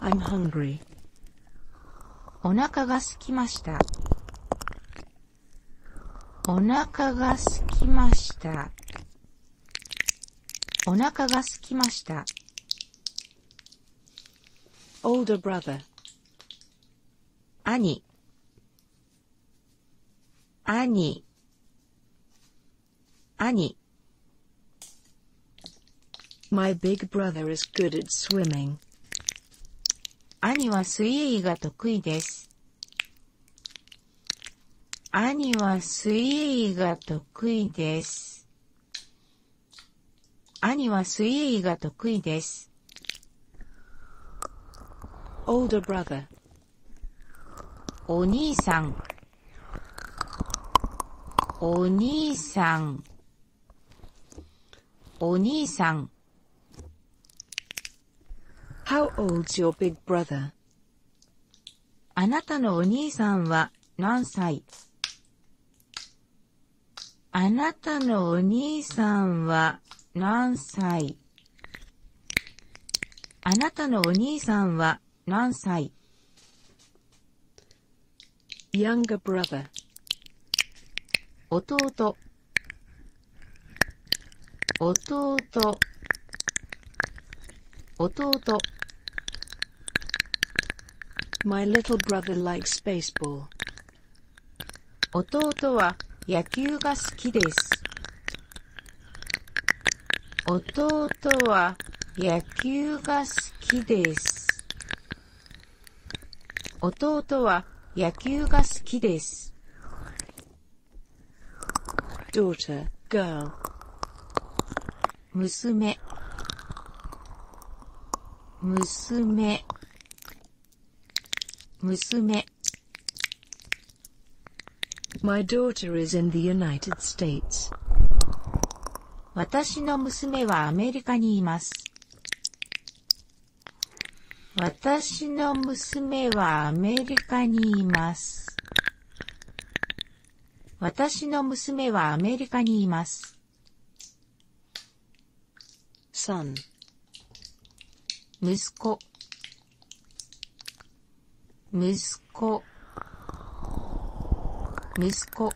I'm hungry. お腹がすきました。お腹がすきました。お腹がすきました。older brother 兄兄兄 My big brother is good at swimming. 兄は水泳が得意です。兄は水泳が得意です。兄は水泳が得意です。older brother お兄さんお兄さん、お兄さん。How old's your big brother? あなたのお兄さんは何歳あなたのお兄さんは何歳あなたのお兄さんは何歳 younger brother 弟弟弟 My little brother likes baseball 弟は野球が好きです弟は野球が好きです弟は野球が好きです。daughter, girl 娘娘娘 My daughter is in the United States. 私の娘はアメリカにいます。私の娘はアメリカにいます。私の娘はアメリカにいます。s 息子息子息子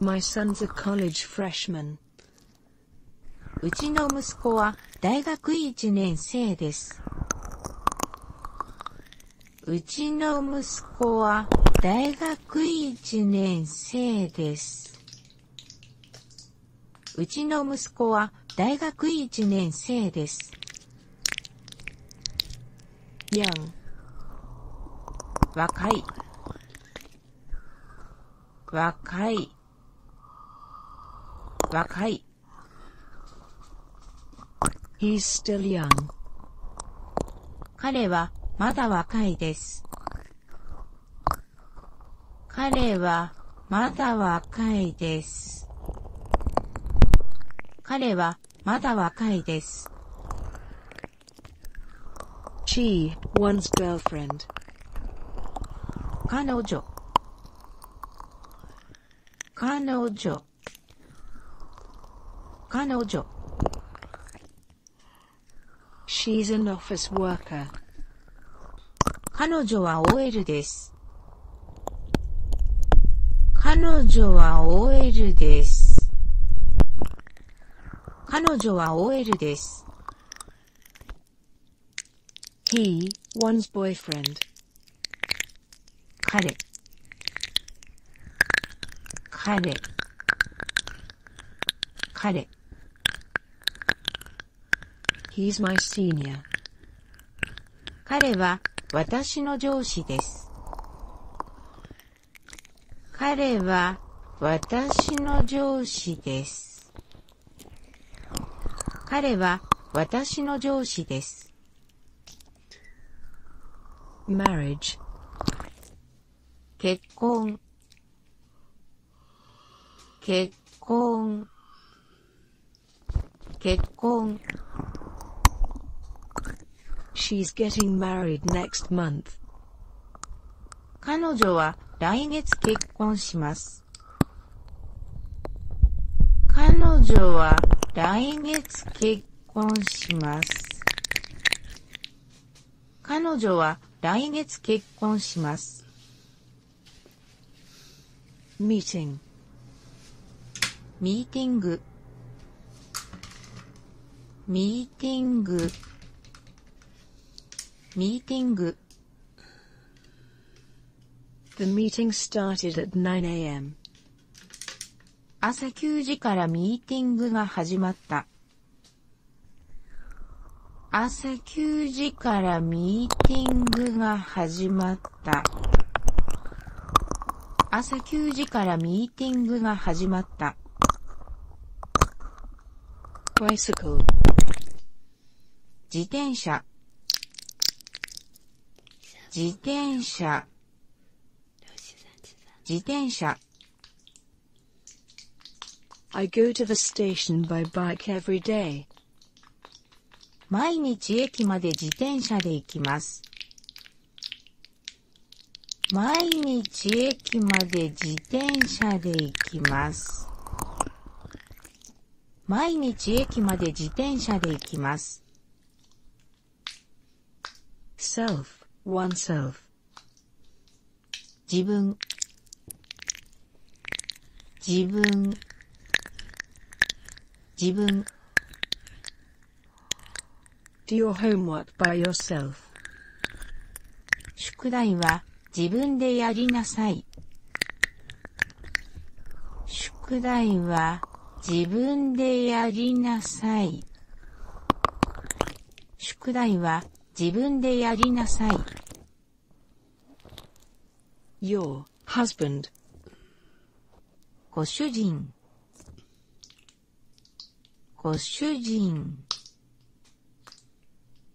My son's a college freshman. うちの息子は大学1年生です。うちの息子は大学1年生です。うちの息子は大学1年生です。yang 若い若い若い He's still young 彼はまだ若いです彼はまだ若いです彼はまだ若いです。She, one's girlfriend. 彼女彼女彼女 She's an office worker. 彼女は OL です。彼女は OL です。彼女は OL です。He, one's boyfriend. 彼彼彼 He's my senior. 彼は私の上司です。彼は私の上司です。彼は私の上司です。m a r 結婚結婚結婚 She's getting married next month. 彼女は来月結婚します。彼女は来月結婚します。彼女は来月結婚します。m e e t i n ミーティングミーティングミーティング朝9時からミーティングが始まった。朝9時からミーティングが始まった。朝9時からミーティングが始まった。bicycle 自転車自転車自転車 I go to the station by bike every day. 毎日駅まで自転車で行きます。毎日駅まで自転車で行きます。毎日駅まで自転車で行きます。self, oneself 自分自分自分宿題は自分でやりなさい。宿題は自分でやりなさい。宿題は自分でやりなさい。ご主人ご主人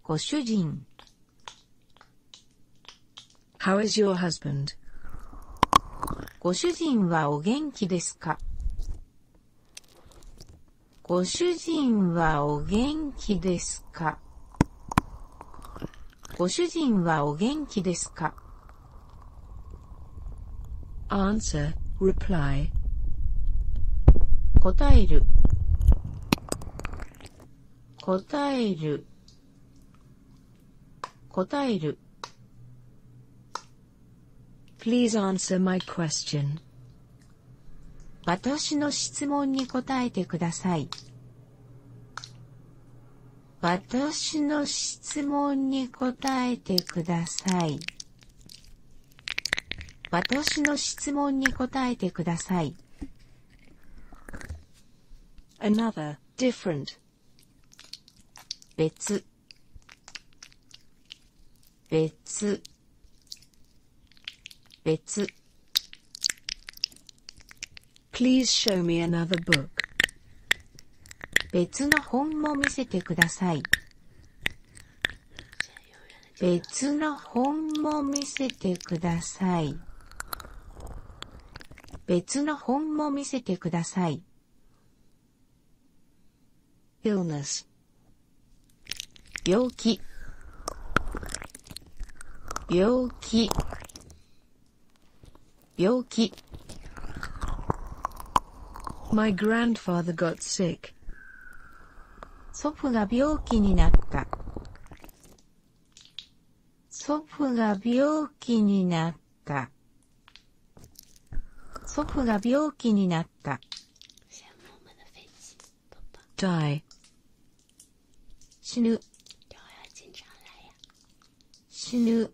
ご主人 How is your husband? ご主人はお元気ですかご主人はお元気ですかご主人はお元気ですか answer, reply 答える答える答える Please answer my question 私の質問に答えてください。私の質問に答えてください。私の質問に答えてください。another, different 別別別 Please show me another book. 別の本も見せてください。別の本も見せてください。別の本も見せてください。illness 病気病気病気 My grandfather got sick. 祖父が病気になった。祖父が病気になった。祖父が病気になった。die 死ぬ死ぬ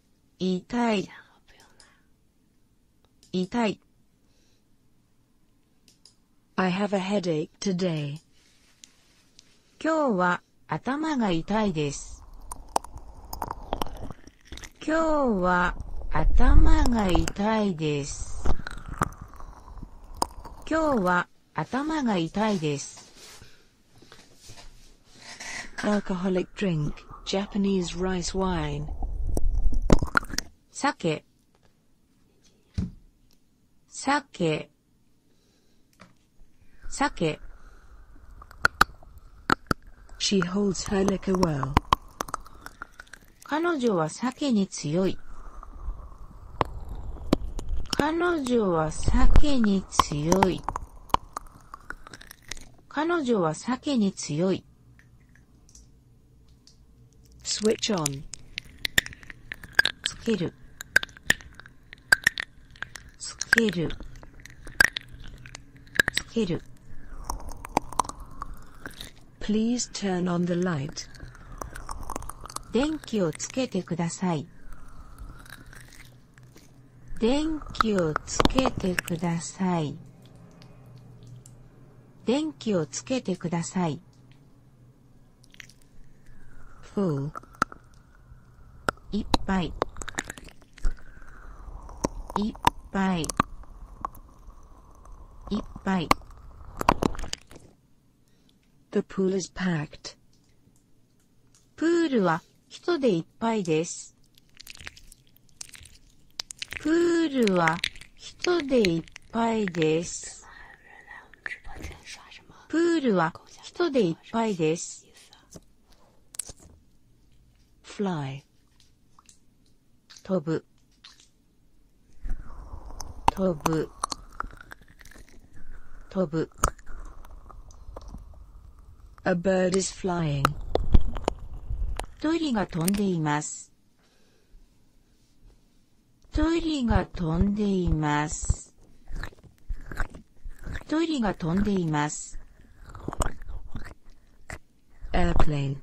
痛い。痛い。I have a headache today. 今日は頭が痛いです。今日は頭が痛いです。今日は頭が痛いです。alcoholic drink, Japanese rice wine. 酒酒酒 She holds her liquor well. 彼女は酒に強い。彼女は酒に強い。彼女は酒に強い。switch on つけるつけるつける Please turn on the light 電気をつけてください。電気をつけてください。電気をつけてください。ふう。いっぱい。いっぱい。いっぱい。The pool is packed. プールは人でいっぱいです。プールは人でいっぱいです。プールは人でいっぱいです。飛ぶ飛ぶ飛ぶ A bird is flying. 鳥が飛んでいます。鳥が飛が飛んでいます。a i r p l a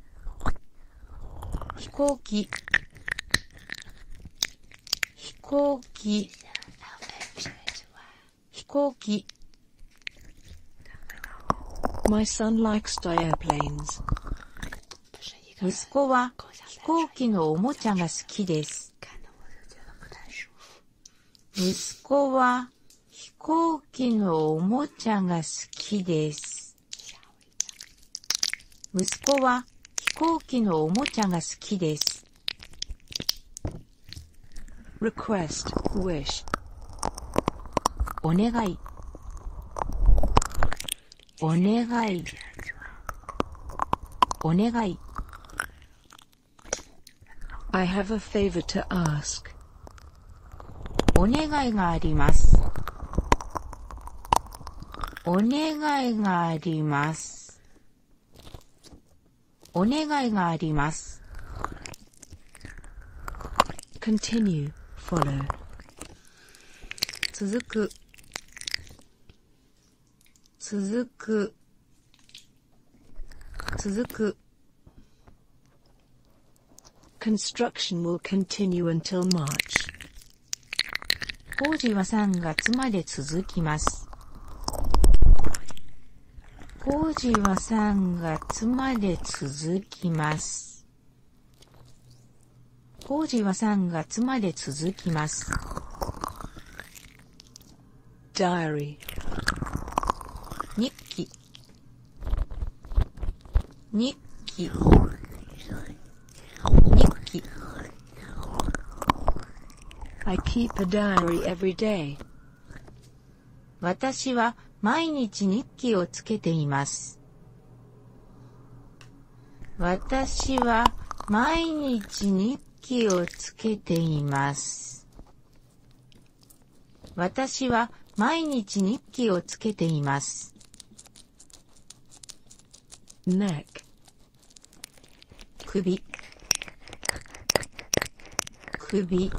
飛行機飛行機飛行機息子は飛行機のおもちゃが好きです。息子は飛行機のおもちゃが好きです。息子は飛行機のおもちゃが好きです。request, wish お願いお願いお願い I have a favor to ask お願いがありますお願いがありますお願いがあります。continue, follow 続く続く続く Construction will continue until March 工事は3月まで続きます工事は3月まで続きます。工事は3月まで続きます。diary 日記日記日記 I keep a diary every day. 私は毎日日記をつけています。私は毎日日記をつけています。私は毎日日記をつけています。首首首キリ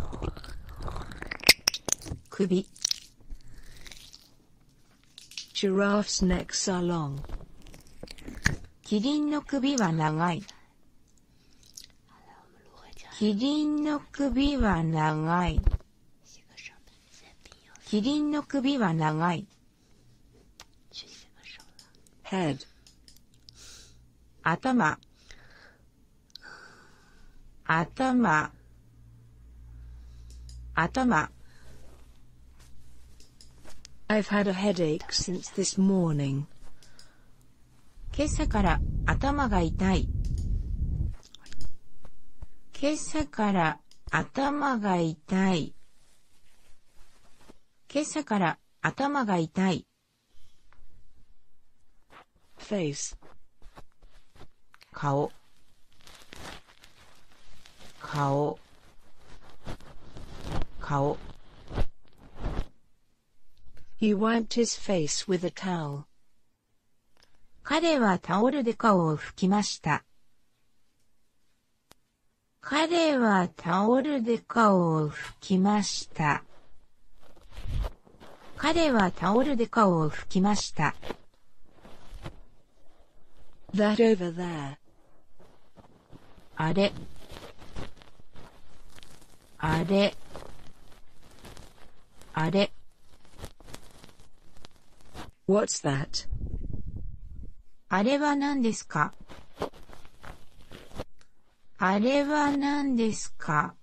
ンの首は長い。キリンの首は長い。キリンの首は長い。頭頭頭 I've had a headache since this morning. 今朝から頭が痛い。今朝から頭が痛い。今朝から頭が痛い。face 顔顔顔 He wiped his face with a towel. 彼はタオルで顔を拭きました。彼はタオルで顔を拭きました。彼はタオルで顔を拭きました。あれ。あれ。あれ。あれは何ですかあれは何ですか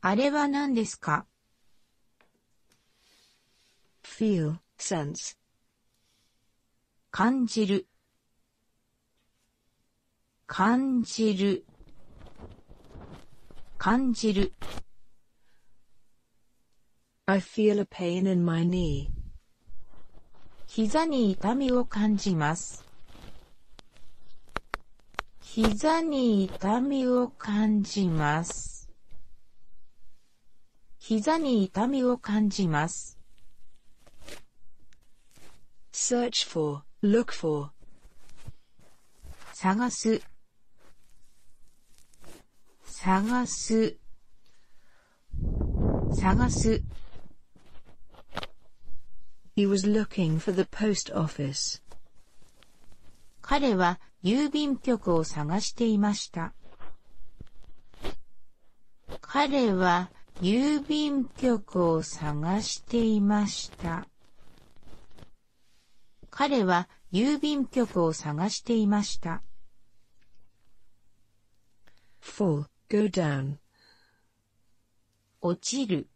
あれは何ですか feel, sense 感じる感じる感じる I feel a pain in my knee 膝に痛みを感じます。膝に痛みを感じます。膝に痛みを感じます。search for, look for 探す探す探す He was looking for the post office. 彼は郵便局を探していました。彼は郵便局を探していました。彼は郵便局を探していました。落ちる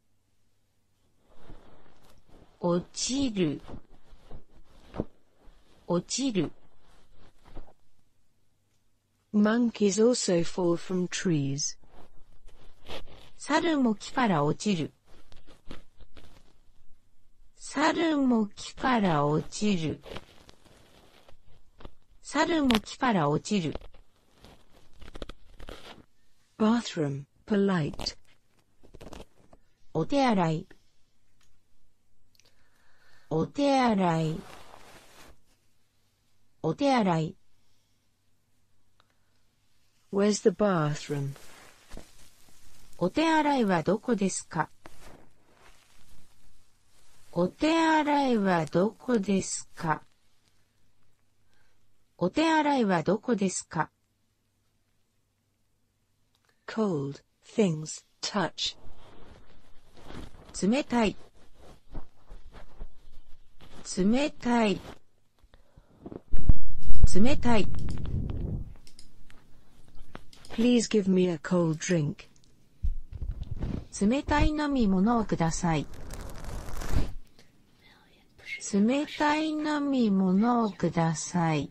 落ちる落ちる Monkeys also fall from trees. 猿も木から落ちる。猿も木から落ちる。猿も木から落ちる。bathroom, polite お手洗いお手洗いお手洗い Where's the bathroom? お手洗いはどこですかお手洗いはどこですかお手洗いはどこですか cold, things, touch. 冷たい、冷たい、冷たい。Please give me a cold drink. 冷たい飲み物をください。冷たい飲み物をください。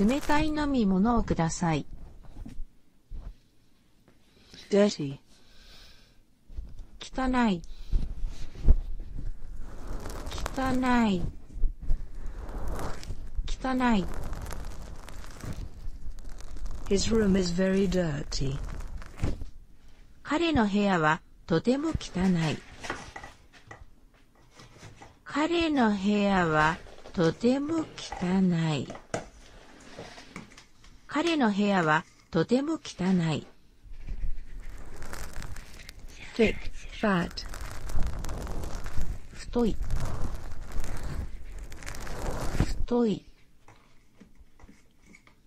冷たい飲み物をください。汚い汚い汚い彼の部屋ははとても汚い。彼の部屋はとても汚い。彼の部屋はとても汚い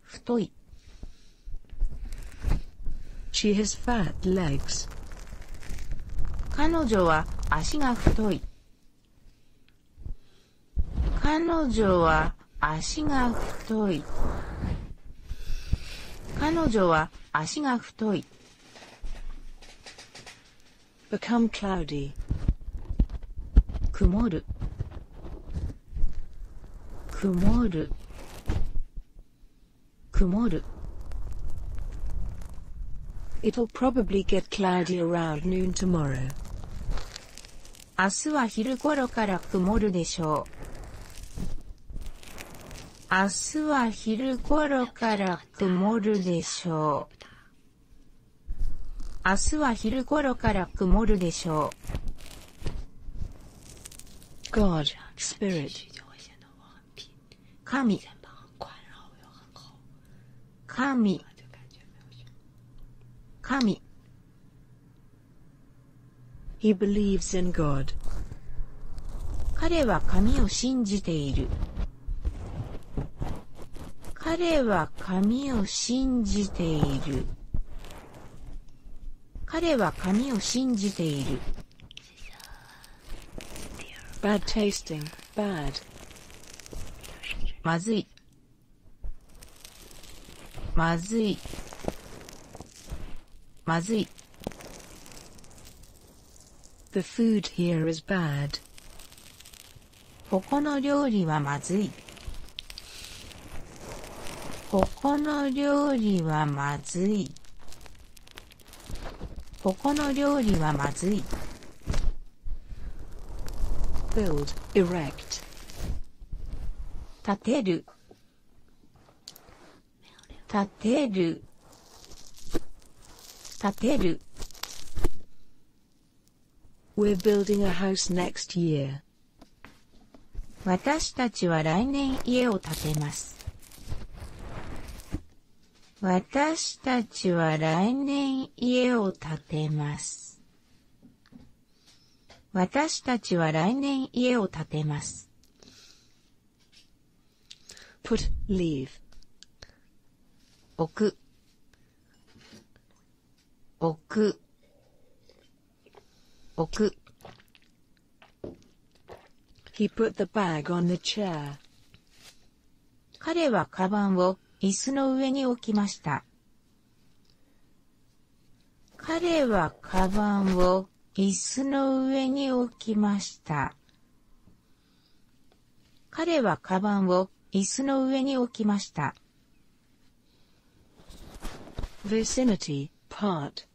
太い彼女は足が太い。彼女は足が太い。彼女は足が太い。曇る曇る曇る It'll probably get cloudy around noon tomorrow. 明日は昼頃から曇るでしょう。明日は昼頃から曇るでしょう。明日は昼頃から曇るでしょう。God, Spirit, 神、神、神。He believes in God. 彼は神を信じている。彼は神を信じている。彼は神を信じている。bad tasting, bad まずい。まずい。まずい。The food here is bad. ここの料理はまずい。ここの料理はまずい。ここの料理はまずい。build, erect 建てる建てる建てる We're building a house next year. 私たちは来年家を建てます。私たちは来年家を建てます。私たちは来年家を建てます。put, l e a v 置く彼はカバンを椅子の上に置きました。彼はカバンを椅子の上に置きました。彼はカバンを椅子の上に置きました。Vicinity, part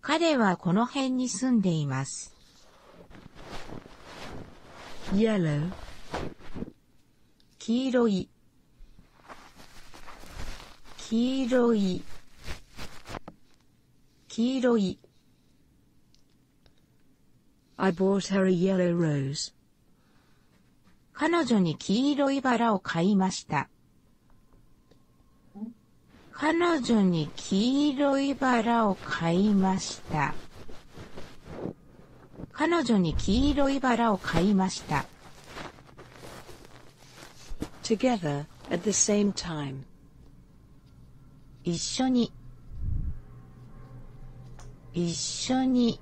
彼はこの辺に住んでいます。yellow 黄色い黄色い黄色い彼女に黄色いバラを買いました。彼女に黄色いバラを買いました。彼女に黄色いバラを買いました。Together at the same time. 一緒に一緒に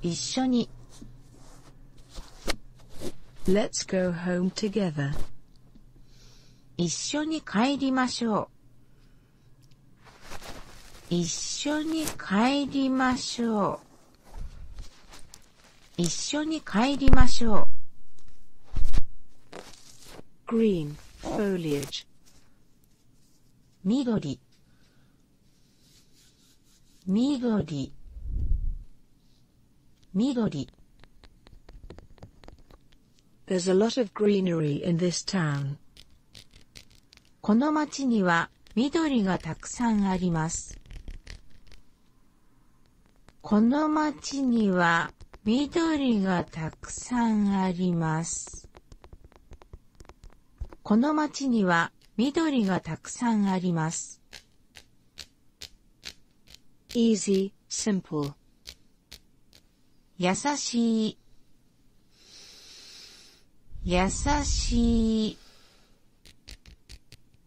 一緒に Let's go home together. 一緒に帰りましょう。一緒に帰りましょう。一緒に帰りましょう。green foliage 緑緑緑この町には緑がたくさんあります。この町には緑がたくさんあります。この町には緑がたくさんあります。easy, simple 優しい優しい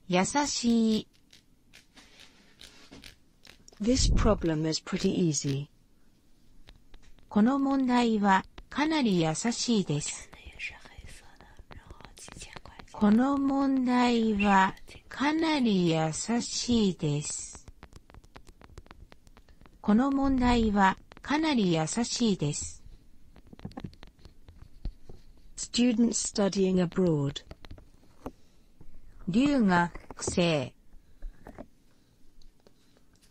優しい This problem is pretty easy この問題はかなり優しいですこの問題はかなり優しいです。この問題はかなり優しいです。Student studying abroad 留学生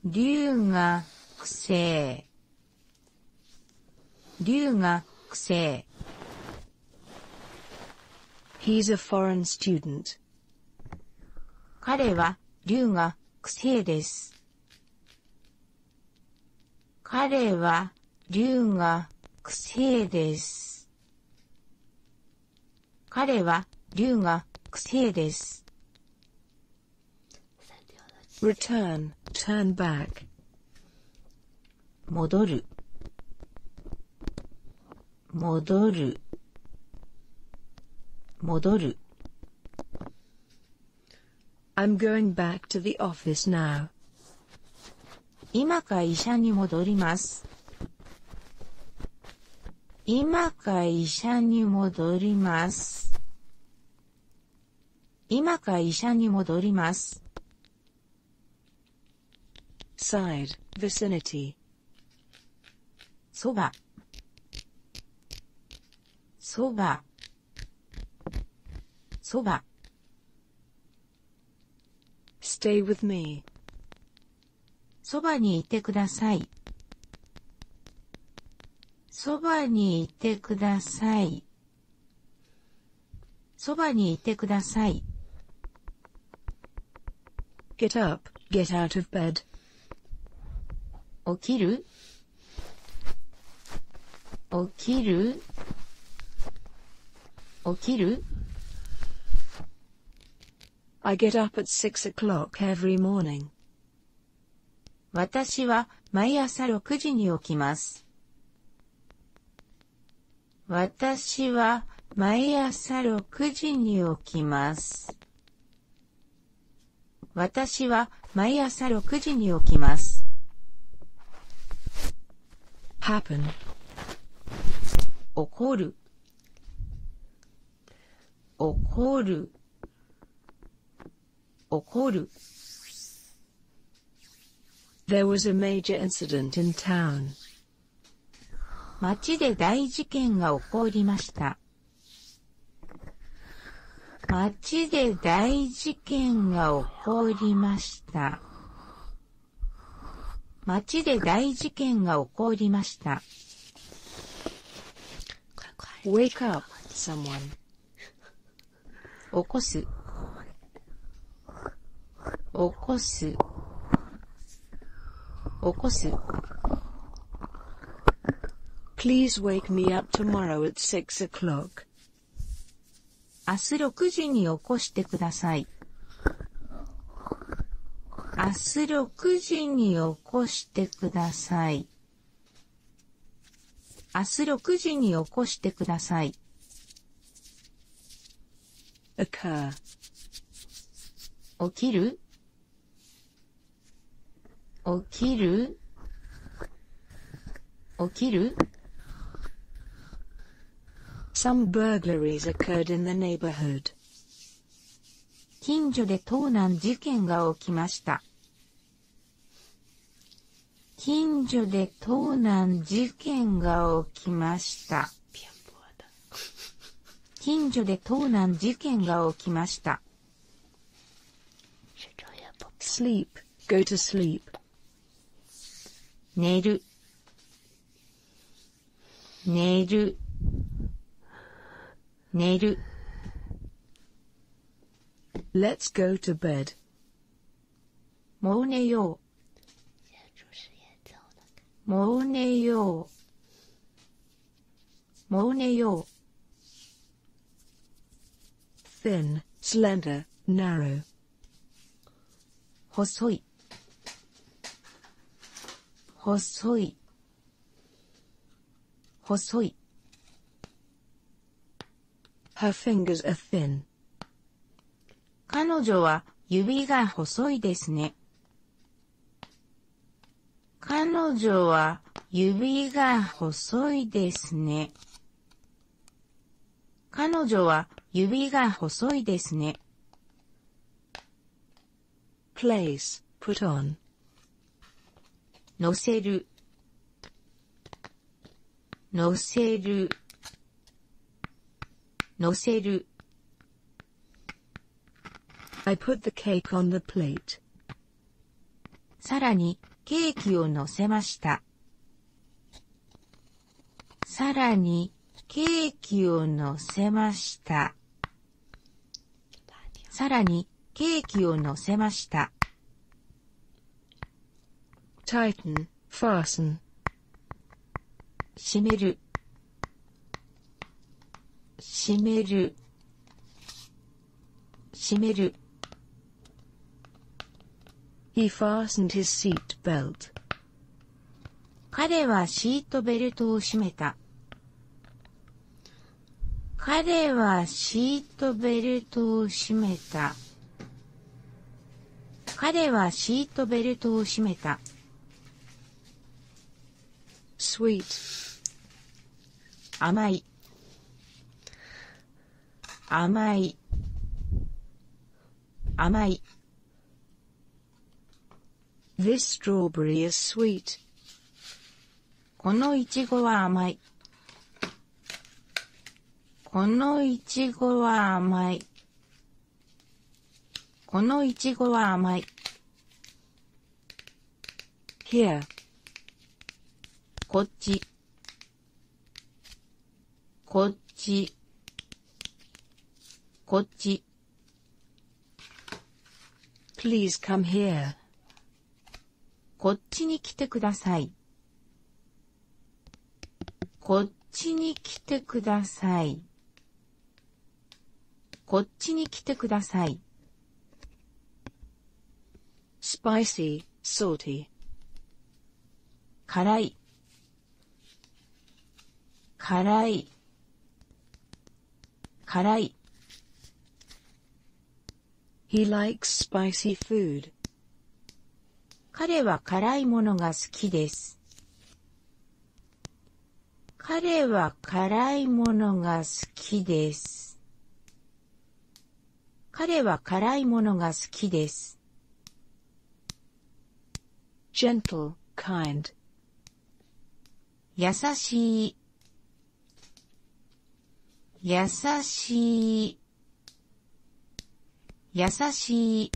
留学生留学生 He's a foreign student. 彼は留学生です。彼は留学生です。彼は留学生です。return, turn back. 戻る戻る戻る I'm going back to the office now. 今会社に戻ります。今会社に戻ります。今会社に戻ります。side, vicinity そばそばそば stay with me そばにいてくださいそばにいてくださいそばにいてください。get up, get out of bed. 起きる起きる起きる ?I get up at six o'clock every morning. 私は毎朝6時に起きます。私は毎朝6時に起きます。私は毎朝6時に起きます。happen 起こる起こる起こる There was a major incident in town. 町で大事件が起こりました。町で大事件が起こりました。町で大事件が起こりました。wake 起こす起こす、起こす。Please wake me up tomorrow at six o'clock. 明日6時に起こしてください。明日6時に起こしてください。明日6時に起こしてください。occur 起きる起きる起きる Some burglaries occurred in the neighborhood. 近所で盗難事件が起きました。近所で盗難事件が起きました。近所で盗難事件が起きました。sleep, go to sleep. 寝る寝る寝る Let's go to bed. もう寝よう。 모으네요. 모으네요. thin, slender, narrow. 호소이 호소이 호소이 Her fingers are thin. 彼女は指が細いですね。彼女は指が細いですね。彼女は指が細いですね。place, put on. 乗せる、乗せる、乗せる。I put the cake on the plate. さらに、ケーキをのせました。さらに、ケーキをのせました。さらに、ケーキをのせました。tighten, f a 閉める閉める閉める彼はシートベルトを閉めた。彼はシートベルトを閉めた。彼はシートベルトを閉めた。sweet 甘い甘い甘い This strawberry is sweet このいちごは甘いこのいちごは甘いこのいちごは甘い。こっちこっちこっち please come here こっちに来てくださいこっちに来てください。こっちに来てください。スパイ c y salty 辛い辛い辛い He likes s p i c 彼は辛いものが好きです。彼は辛いものが好きです。gentle, kind 優しい優しい優しい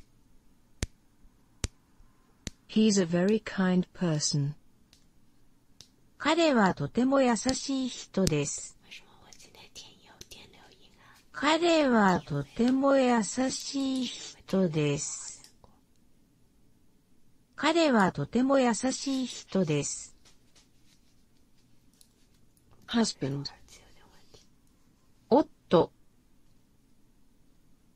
He's a very kind person. 彼はとても優しい人です。彼はとても優しい人です。husband 夫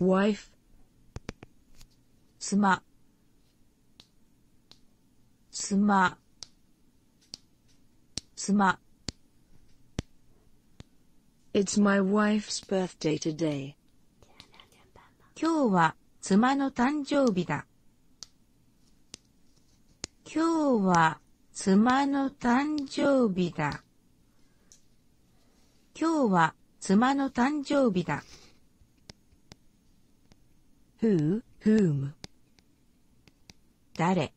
wife 妻妻妻 It's my wife's birthday today. 今日は妻の誕生日だ。今日は妻の誕生日だ。今日は妻の誕生日だ。who, whom 誰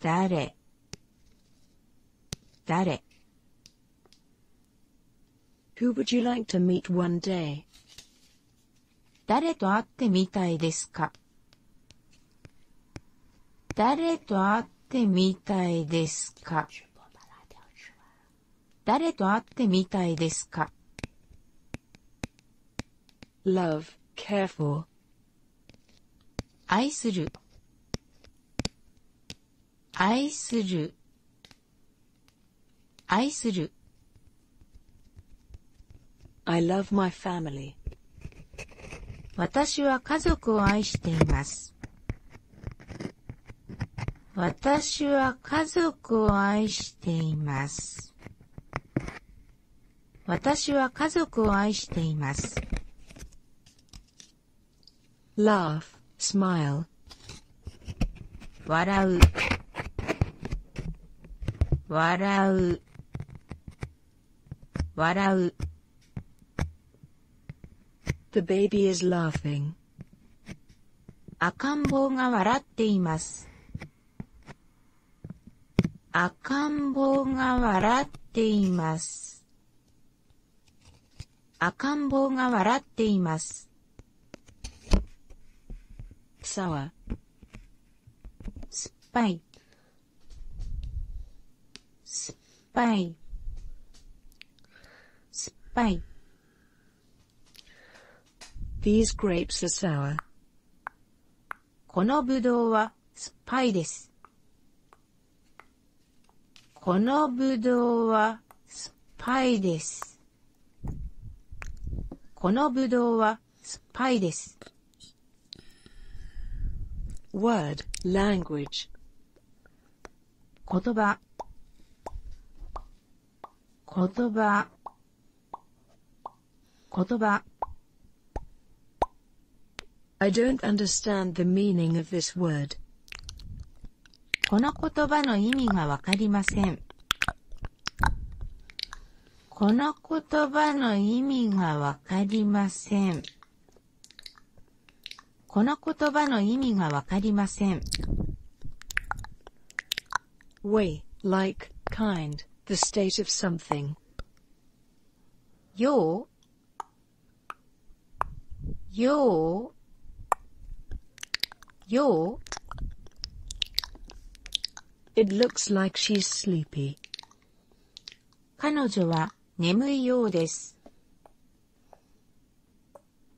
誰誰 Who would you like to meet one day? 誰と会ってみたいですか誰と会ってみたいですか誰と会ってみたいですか ?love, careful 愛する愛する愛する I love my family 私は家族を愛しています。私は家族を愛しています。私は家族を愛しています。laugh, smile 笑う笑う笑う The baby is laughing. 赤ん坊が笑っています。赤ん坊が笑っています。赤ん坊酸っぱい酸っぱい酸っぱい These grapes このぶどうは酸っぱいです。このぶどうは酸っぱいです。このぶどうは酸っぱいです。word, language 言葉言葉言葉 I don't understand the meaning of this word. この言葉の意味がわかりません。この言葉の意味がわかりません。この言葉の意味がわかりません。way, like, kind, the state of something. よう、よう、よう。It looks like she's sleepy. 彼女は眠いようです。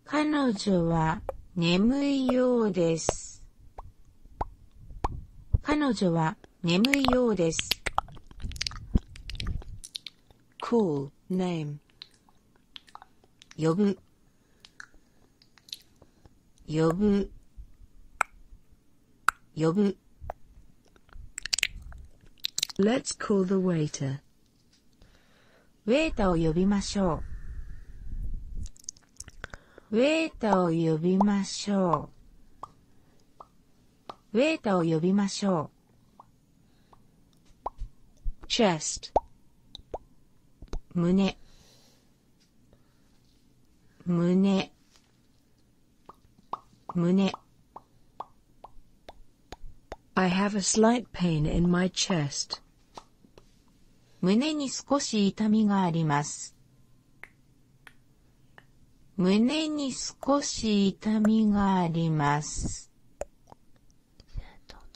彼女は眠いようです。彼女は眠いようです。cool, name 呼ぶ呼ぶ呼ぶ Let's call the waiter. ウェータを呼びましょう。ウェータを呼びましょう。ウェータを呼びましょう。chest 胸胸胸 I have a slight pain in my chest. 胸に少し痛みがあります。胸に少し痛みがあります。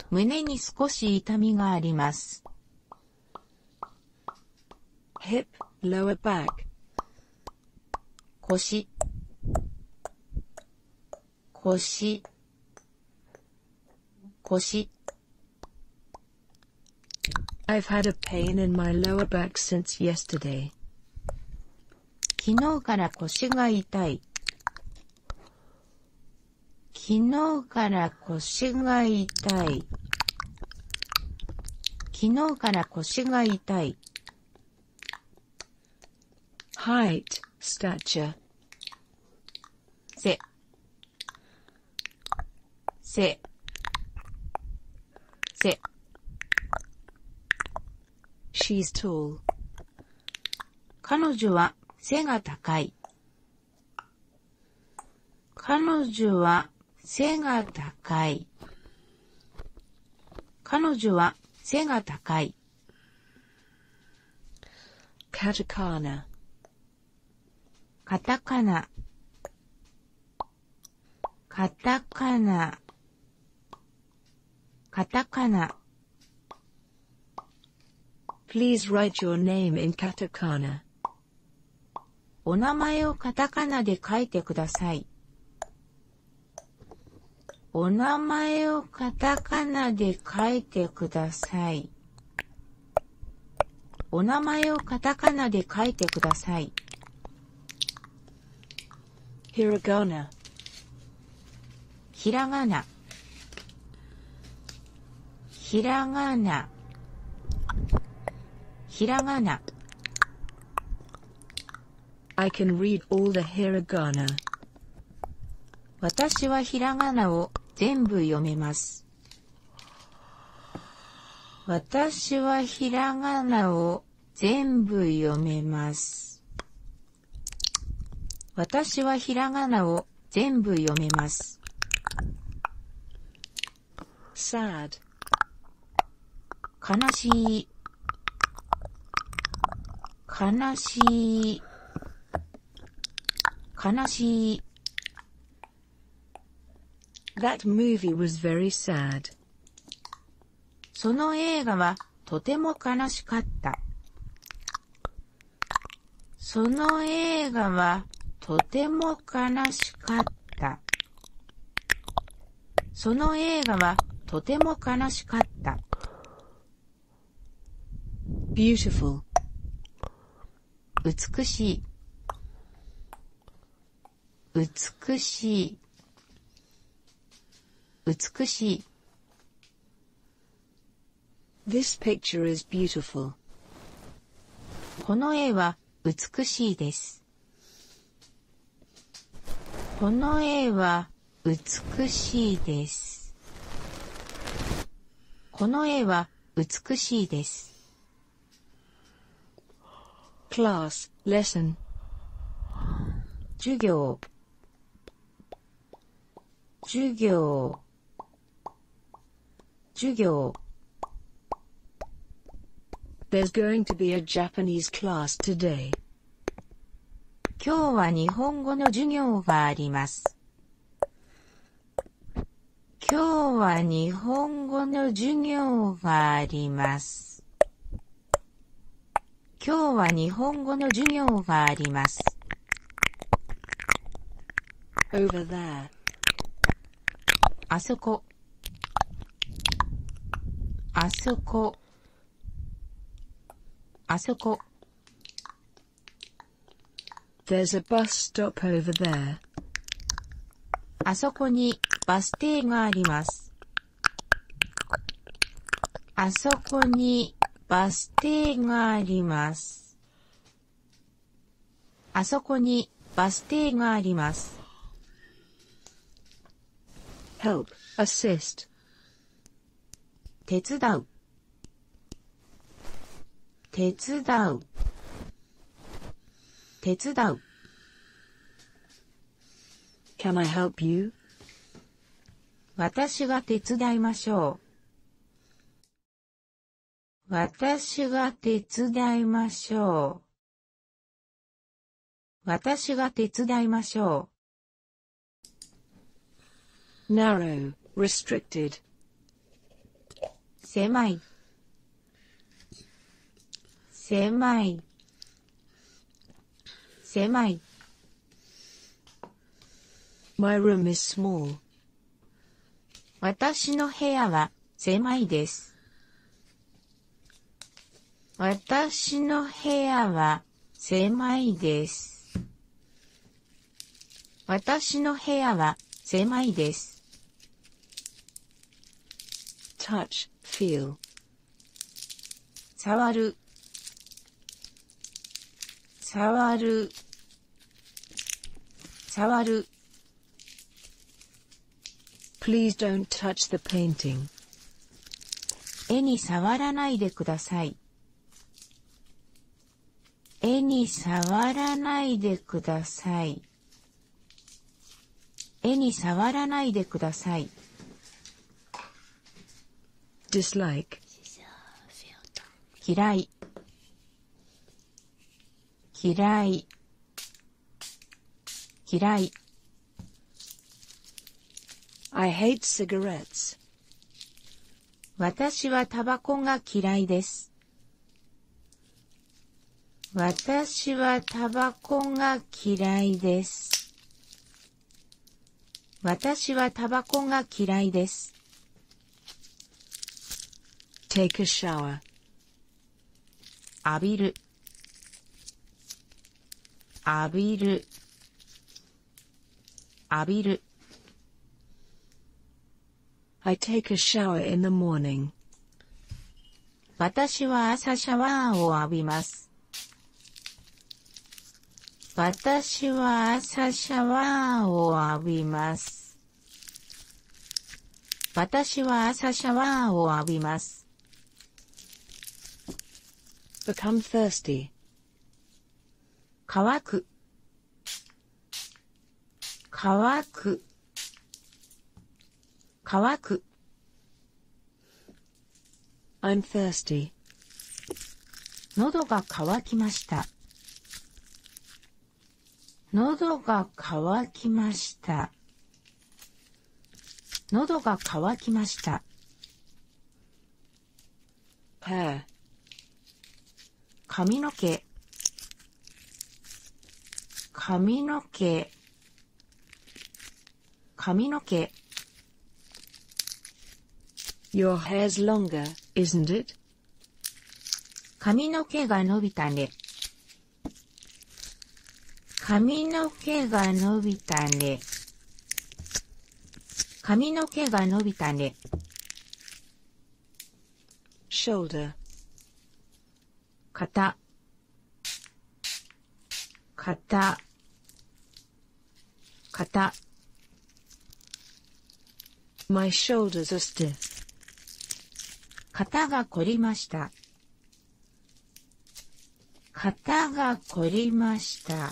胸に少し痛みがあります。hip, lower back 腰こし、こし。I've had a pain in my lower back since yesterday. 昨日から腰が痛い。昨日から腰が痛い。昨日から腰が痛い。height, stature. 背、背、背。She's tall. 彼女は背が高い。彼女は背が高い。彼女は背が高い。カタカナ。カタカナ。カタカナ。カタカナ。お名前をカタカナで書いてください。お名前をカタカナで書いてください。お名前をカタカナで書いてください。ひらがな。ひらがな。ひらがな。ひらがな。I can read all the hiragana. 私はひらがなを全部読めます。私はひらがなを全部読めます。私はひらがなを全部読めます。sad 悲しい悲しい、悲しい。その映画はとても悲しかった。その映画はとても悲しかった。その映画はとても悲しかった。beautiful 美しい美しい美しい This picture is beautiful この絵は美しいですこの絵は美しいです。この絵は美しいです。class, lesson 授業授業授業 There's going to be a Japanese class today. 今日は日本語の授業があります。今日は日本語の授業があります。今日は日本語の授業があります。over there あそこあそこあそこ There's a bus stop over there. あそこにバス停があります。あそこにバス停があります。あそこにバス停があります。help, assist 手伝う手伝う手伝う私が手伝いましょう。私が手伝いましょう。私が手伝いましょう。narrow, restricted 狭い狭い狭い My room is small 私の部屋は狭いです私の部屋は狭いです。私の部屋は狭いです。touch, feel 触る触る触る Please don't touch the painting 絵に触らないでください。絵に触らないでください。絵に触らないでください。嫌い嫌い嫌い I hate cigarettes. 私はタバコが嫌いです。私はタバコが嫌いです。私はタバコが嫌いです。take a shower 浴びる浴びる浴びる I take a shower in the morning. 私は朝シャワーを浴びます。私は朝シャワーを浴びます。私は朝シワーを浴びま become thirsty 乾く乾く乾く I'm thirsty 喉が乾きました喉が乾きました喉が乾きました h の i r 髪の毛髪の毛髪の毛 Your hair's longer, isn't it? 髪の毛が伸びたね。髪の毛が伸びたね。髪の毛が伸びたね。shoulder 肩肩肩 My shoulders are stiff 肩が凝りました肩が凝りました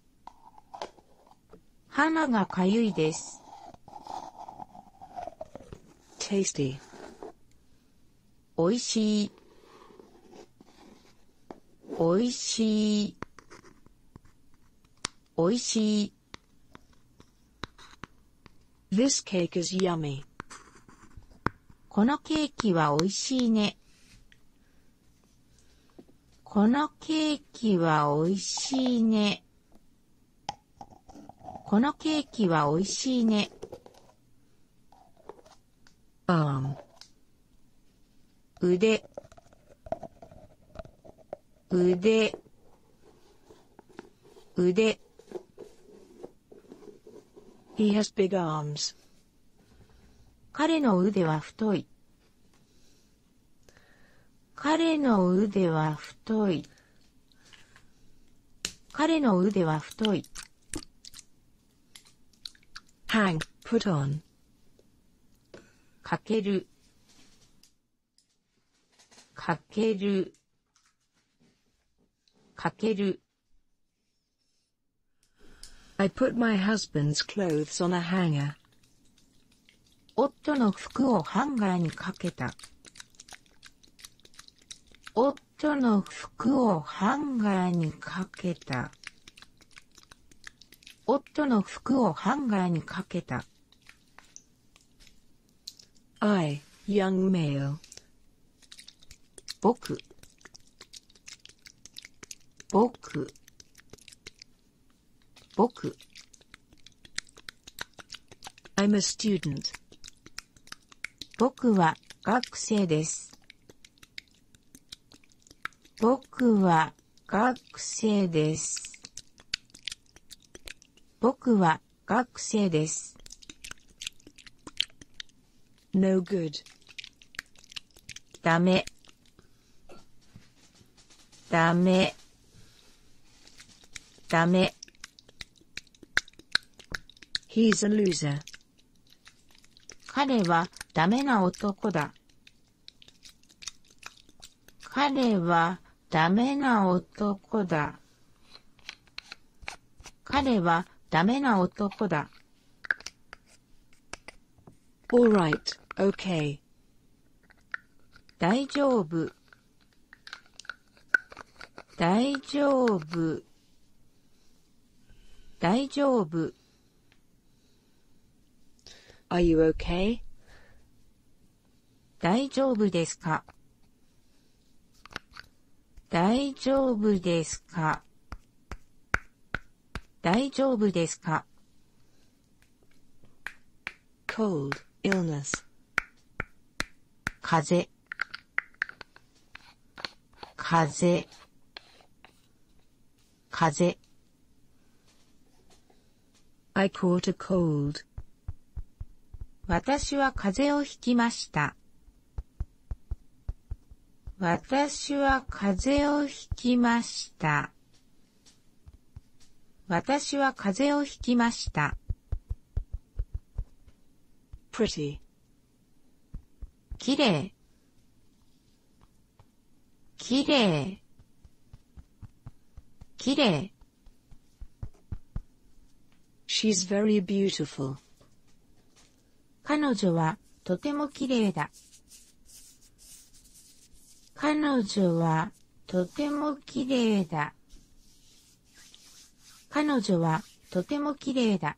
鼻がかゆいです。t a おいしいおいしいおいしいこのケーキはおいしいね。このケーキは美味しいね。このケーキは美味しいね。あん。腕。腕。腕。He has big arms. 彼の腕は太い。彼の腕は太い。彼の腕は太い。hang, put on. かける。かける。かける。I put my husband's clothes on a hanger. 夫の服をハンガーにかけた。夫の服をハンガーにかけた。夫の服をハンガーにかけた。I, young male. 僕僕僕 I'm a student. 僕は学生です。僕は学生です。僕は学生です。No good. ダメ。ダメ。ダメ。He's a loser. 彼はダメな男だ。彼はダメな男だ。彼はダメな男だ。Alright, o k 大丈夫大丈夫大丈夫 Are you okay? 大丈夫ですか大丈夫ですか大丈夫ですか cold, illness 風風風 I caught a cold 私は風私は風邪をひきました。私は風邪をひきました。pretty きれいきれいきれい彼女はとてもきれいだ。彼女はとても綺麗だ。彼女はとても綺麗だ。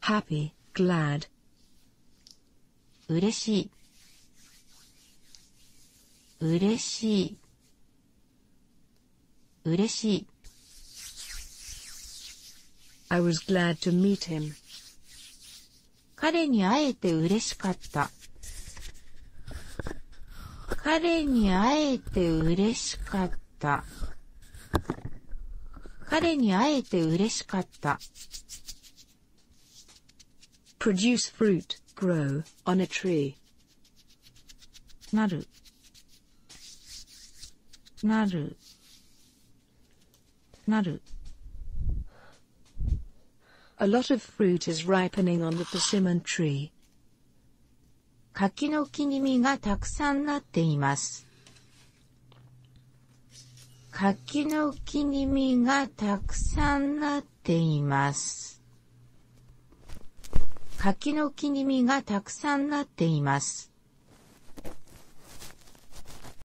happy, glad 嬉しい。嬉しい。嬉しい。I was glad to meet him. 彼に会えて嬉しかった。彼に会えて嬉しかった。彼に会えて嬉しかった。produce fruit, grow, on a tree. なる。なる。なる A lot of fruit is ripening on the persimmon tree. 柿の木に実がたくさんなっています。柿の木に実がたくさんなっています。柿の木に実がたくさんなっています。